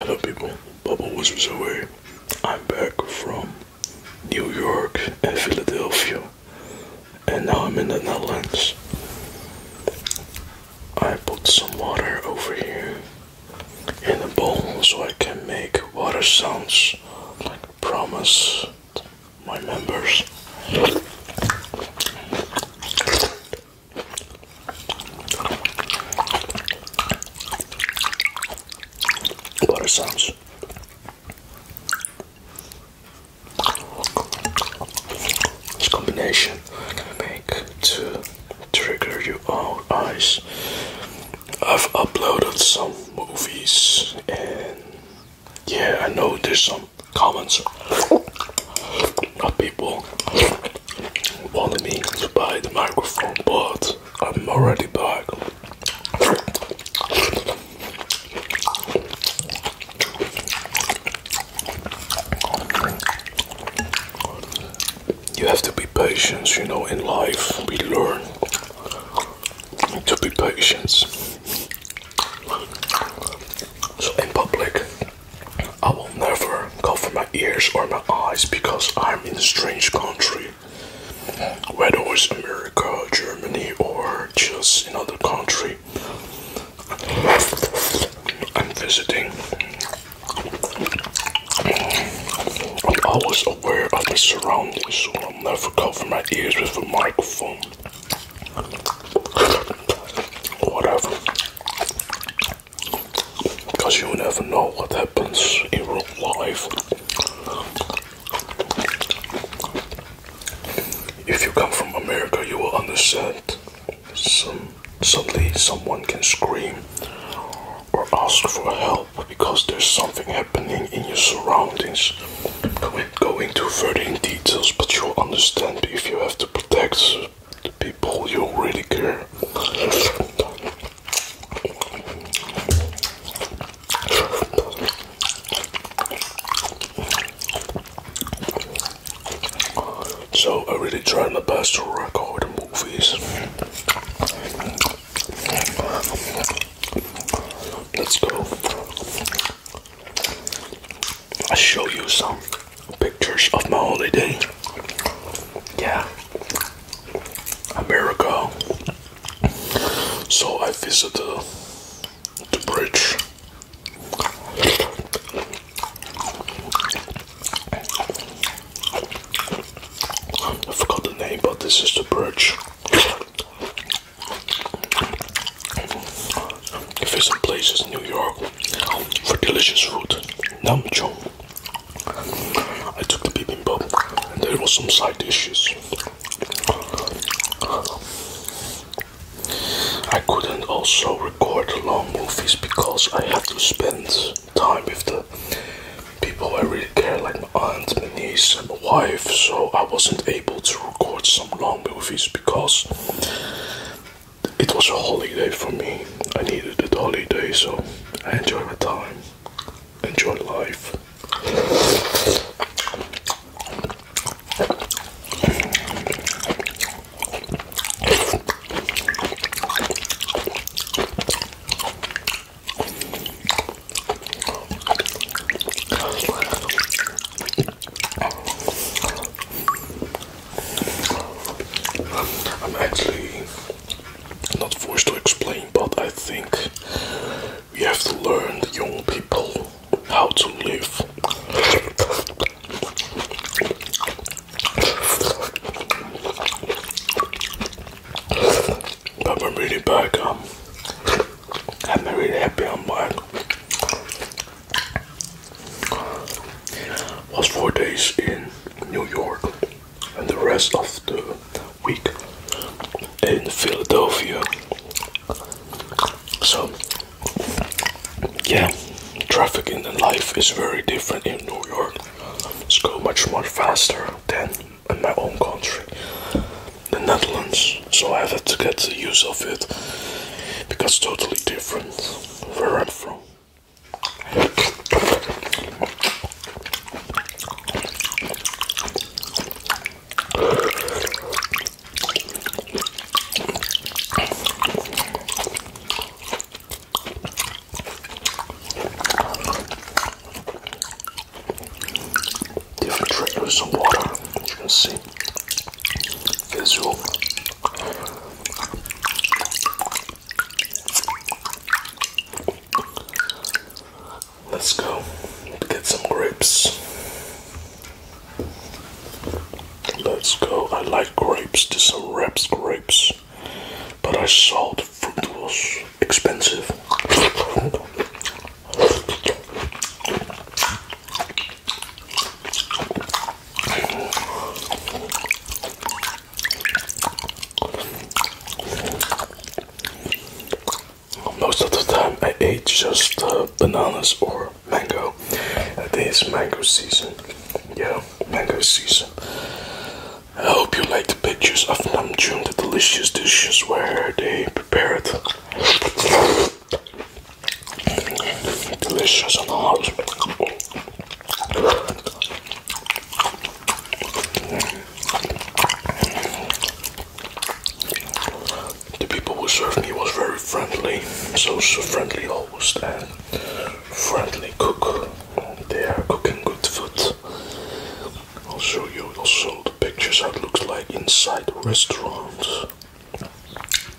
Hello people, Bubble Whispers away. I'm back from New York and Philadelphia and now I'm in the Netherlands. I put some water over here in a bowl so I can make water sounds like I promised my members. Butter sounds. This combination can make to trigger your own eyes. I've uploaded some movies and yeah, I know there's some comments of people only need to buy the microphone, but I'm already back. You have to be patient, you know, in life we learn to be patient. So in public I will never cover my ears or my eyes because I'm in a strange country. Whether it's America, Germany, or just another country, I'm visiting. I'm always aware of my surroundings, so I'll never cover my ears with a microphone. Whatever. Because you never know what happens in real life. If you come from America, you will understand. suddenly, someone can scream or ask for help because there's something happening in your surroundings. I won't go into further in details, but you'll understand if you have to protect people you really care. So I really try my best to record the movies. Let's go. I'll show you some pictures of my holiday. Yeah, America. So I visited the bridge. I forgot the name, but this is the bridge visit places in New York um, for delicious food. Namcho. I took the bibimbap and there was some side dishes. I couldn't also record long movies because I had to spend time with the people I really care, like my aunt, my niece, and my wife. So I wasn't able to record some long movies because it was a holiday for me. I needed that holiday, so I enjoy my time, enjoy life. I'm actually not forced to explain, but I think we have to learn the young people how to live. But I'm really back. Um, I'm really happy I'm back was four days in New York and the rest of the week in Philadelphia. So, yeah, traffic in life is very different in New York. It's go much much faster than in my own country, the Netherlands. So I have to get the use of it because totally different where I'm from. Different triggers of water, as you can see. Visual Let's go get some grapes. Let's go. I like grapes. This some wraps grapes. But I saw the fruit was expensive. Most of the time I ate just uh, bananas or mango. It is mango season. Yeah, mango season. I hope you like the pictures of Namjoon, the delicious dishes where they prepare it. Delicious and hot. The people who served me was very friendly, so, so friendly host and friendly cook. They are cooking good food. I'll show you also the pictures how it looks like inside the restaurant.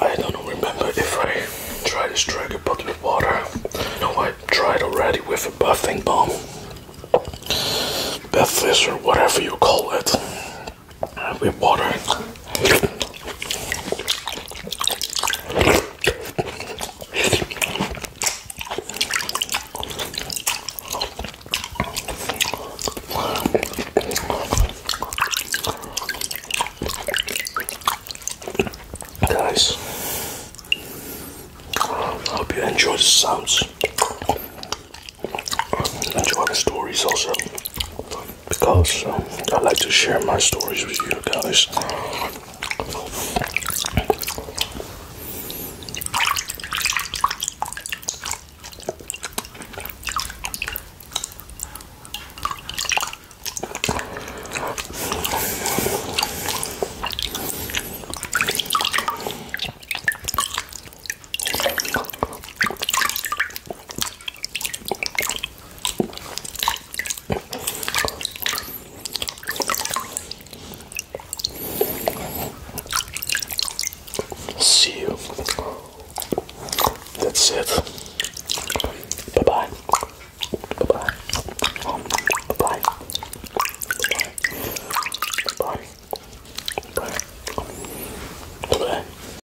I don't remember if I tried this dragon bottle of water. No, I tried already with a buffing bomb. Bath or whatever you call it with water. Guys, hope you enjoy the sounds. Enjoy the stories also because um, I like to share my stories with you guys. See you. That's it. Bye bye. Bye bye. Bye bye. Bye bye. Bye bye. Bye bye.